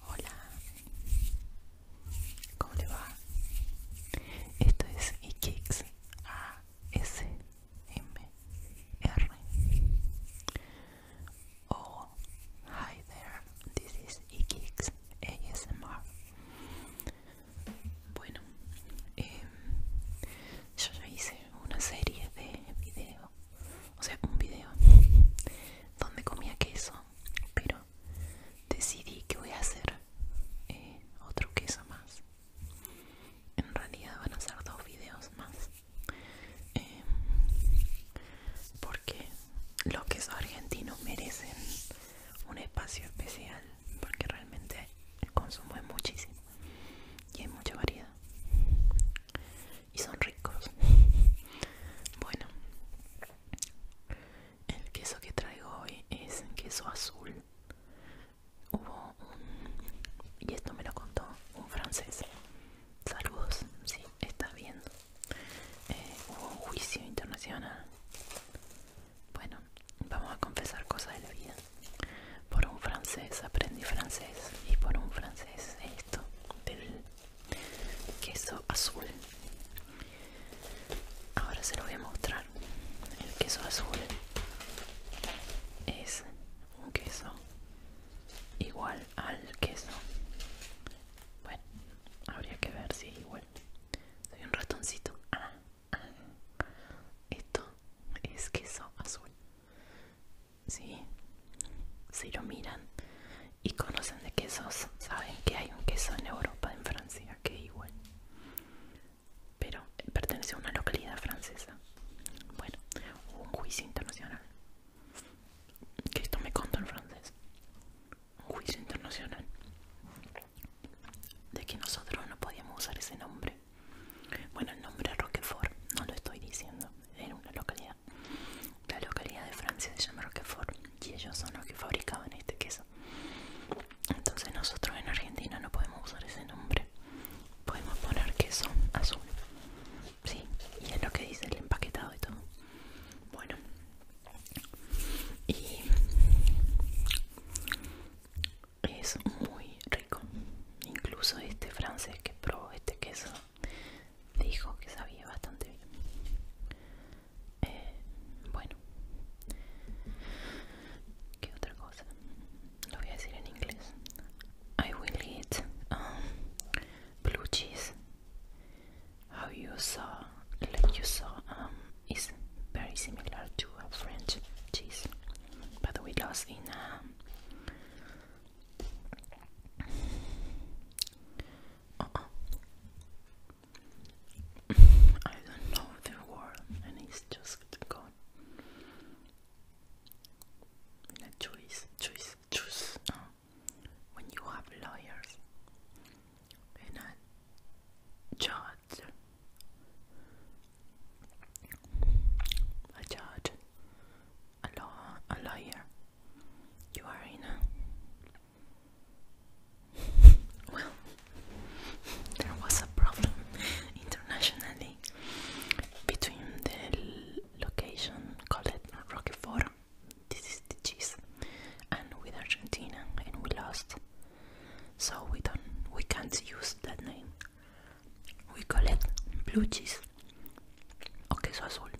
Hola, ¿cómo le va? Esto es Ikix A S M R. Oh, hi there. This is Ikix ASMR. Bueno, em, yo ya hice una serie de videos o sea, un video donde comía queso, pero decidí que voy a hacer eh, otro queso más. En realidad van a ser dos videos más. Eh, porque los quesos argentinos merecen un espacio especial porque realmente el consumo es muchísimo y hay mucha variedad y son ricos. Bueno, el queso que traigo hoy es queso azul. Hubo un, y esto me lo contó un francés. Saludos, si sí, estás bien eh, hubo un juicio internacional. Bueno, vamos a confesar cosas de la vida. Por un francés aprendí francés y por un francés esto del queso azul ahora se lo voy a mostrar el queso azul es un queso igual al queso bueno habría que ver si es igual soy un ratoncito ah, ah. esto es queso azul ¿sí? Si lo miran y conocen de quesos, saben que hay un queso en Europa, en Francia, que igual. Pero pertenece a una localidad francesa. Bueno, hubo un juicio internacional. Que esto me contó en francés. Un juicio internacional. De que nosotros no podíamos usar ese nombre. Bueno, el nombre Roquefort, no lo estoy diciendo, era una localidad. La localidad de Francia se llama Roquefort y ellos son los que fabricaban este queso. Entonces nosotros en Argentina no podemos usar ese nombre. Podemos poner queso azul. Sí, y es lo que dice el empaquetado y todo. Bueno. Y es muy rico. Incluso este francés que probó este queso dijo que sabía bastante bien. Eh, bueno, ¿qué otra cosa? Lo voy a decir en inglés. I will eat um, blue cheese. How you saw, like you saw, um, is very similar to a French cheese, but we lost in. Um, uh-uh. I don't know the word and he's just gone. In a choice, choice, choice. Uh, when you have lawyers and a judge, a judge, a law, a lawyer, you are in a well. There was a problem internationally between the location called Roquefort. This is the cheese, and with Argentina, and we lost. So we don't, we can't use that name. We call it blue cheese o queso azul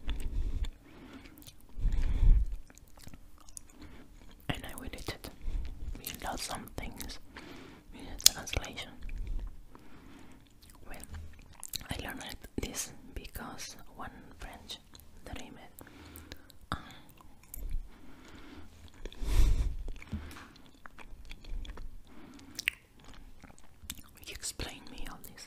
and I will eat lost some things in translation. Well, I learned this because one French that uh, I me all this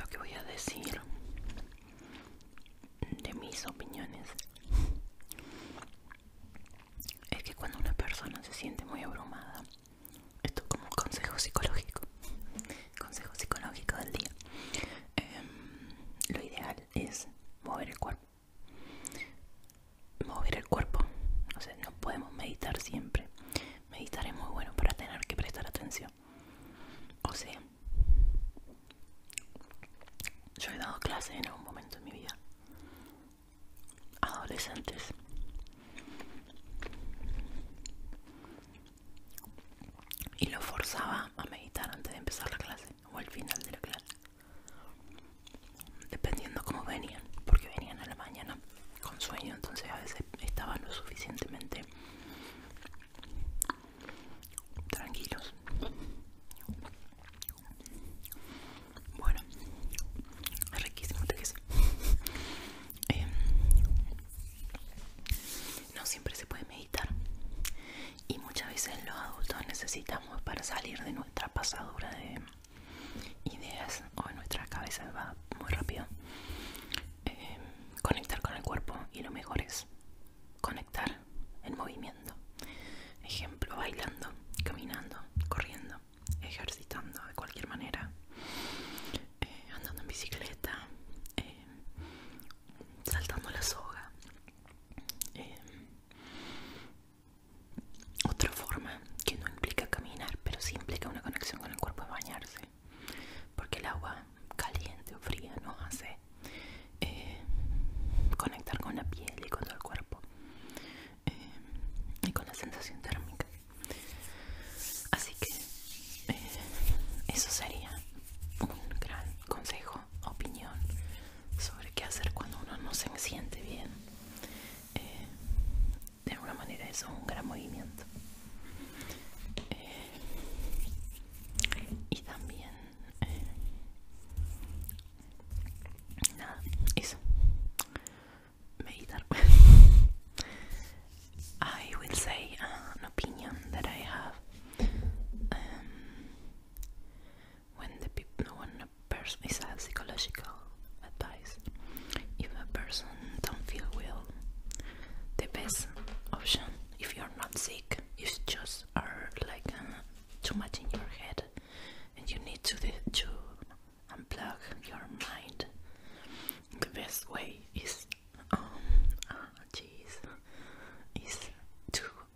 Lo que voy a decir de mis opiniones es que cuando una persona se siente muy abrumada, esto es como consejo psicológico, consejo psicológico del día, em, lo ideal es mover el cuerpo mover el cuerpo. O sea, no podemos meditar siempre. Meditar es muy bueno para tener que prestar atención. O sea, yo he dado clases en algún momento en mi vida. Adolescentes. Y lo forzaba a meditar antes de empezar la clase o al final de la clase dependiendo cómo venían, porque venían a la mañana con sueño, entonces a veces estaban lo suficientemente tranquilos. Bueno, es riquísimo este em, No siempre se puede meditar y muchas veces los adultos necesitamos para salir de nuestra pasadura de ideas o de nuestra cabeza va muy rápido eh, conectar con el cuerpo y lo mejor es conectar en movimiento ejemplo bailando caminando corriendo ejercitando de cualquier manera eh, andando en bicicleta eh, saltando la soga otra forma que no implica caminar, pero sí implica una conexión con el cuerpo es bañarse, porque el agua caliente o fría nos hace eh, conectar con la piel y con todo el cuerpo eh, y con la sensación térmica. Así que eh, eso sería un gran consejo opinión sobre qué hacer cuando uno no se siente bien. Eh, de alguna manera eso es un gran movimiento. Eh, y también... Eh, nada, eso. Meditar. I will say ah, an opinion that I have. Um, when the when a person is a psychological advice if a person don't feel well the best option if you're not sick is just are like uh, too much in your head and you need to to unplug your mind the best way is um ah jeez is to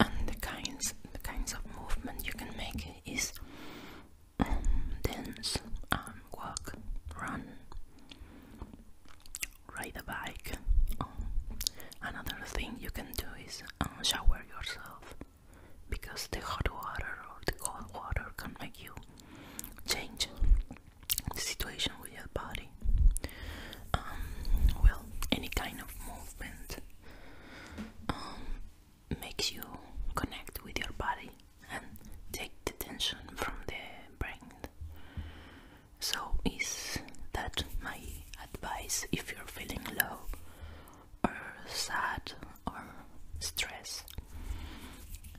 and the kinds the kinds of movement you can make is um, dance, um, walk, run, ride a bike. Um, another thing you can do is um, shower yourself because the hot water or the cold water can make you change the situation with your body. Um, well, any kind of movement um, makes you connect with your body and take the tension from the brain. So, is that my advice if you're feeling low, or sad, or stressed?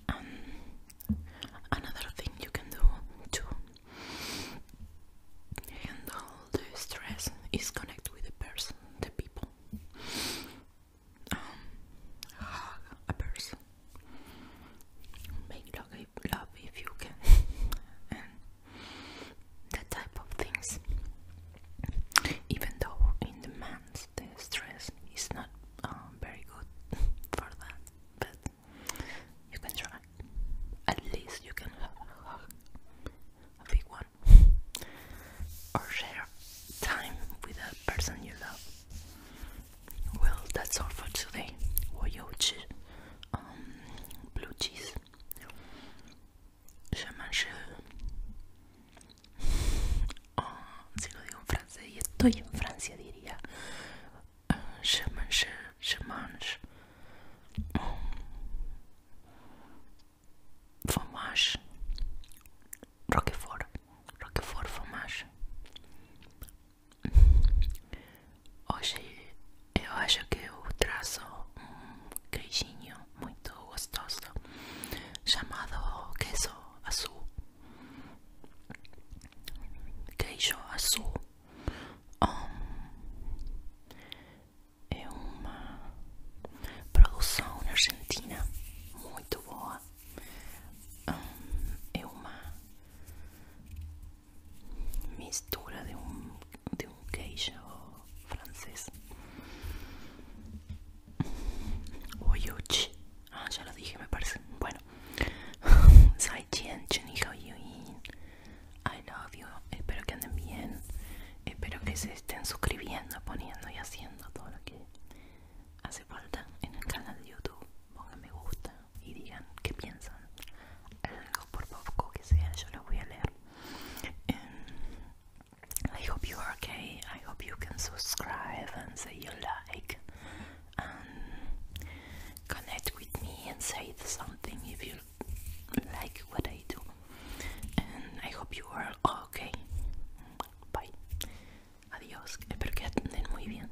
Um, another thing you can do to handle the stress is connect with the person, the people. Um, hug a person. Make love if you can. that type of things. Even though in the months stress is not um, very good for that, but you can try. At least you can have a big one, or share time with a person you love. Well, that's all for today. 我有志。Um, blue cheese. Je mange. Ah, si lo digo en francés, y estoy en Francia, diría. je mange, je mange. Fromage. Roquefort. Roquefort, fromage. Hoje eu acho que eu traço um queijinho muito gostoso chamado queijo azul. Queijo azul é uma produção na Argentina muito boa. é uma mistura de un, de un queijo francés. Oyochi, ah, ya lo dije, me parece. Bueno, I love you. Espero que anden bien. Espero que se estén suscribiendo, poniendo y haciendo todo lo que hace falta en el canal de YouTube. Pongan me gusta, I hope you are okay. I hope you can subscribe and say you like. Um, connect with me and say something if you like what I do. And I hope you are okay. Bye. Adiós. Espero que anden muy bien.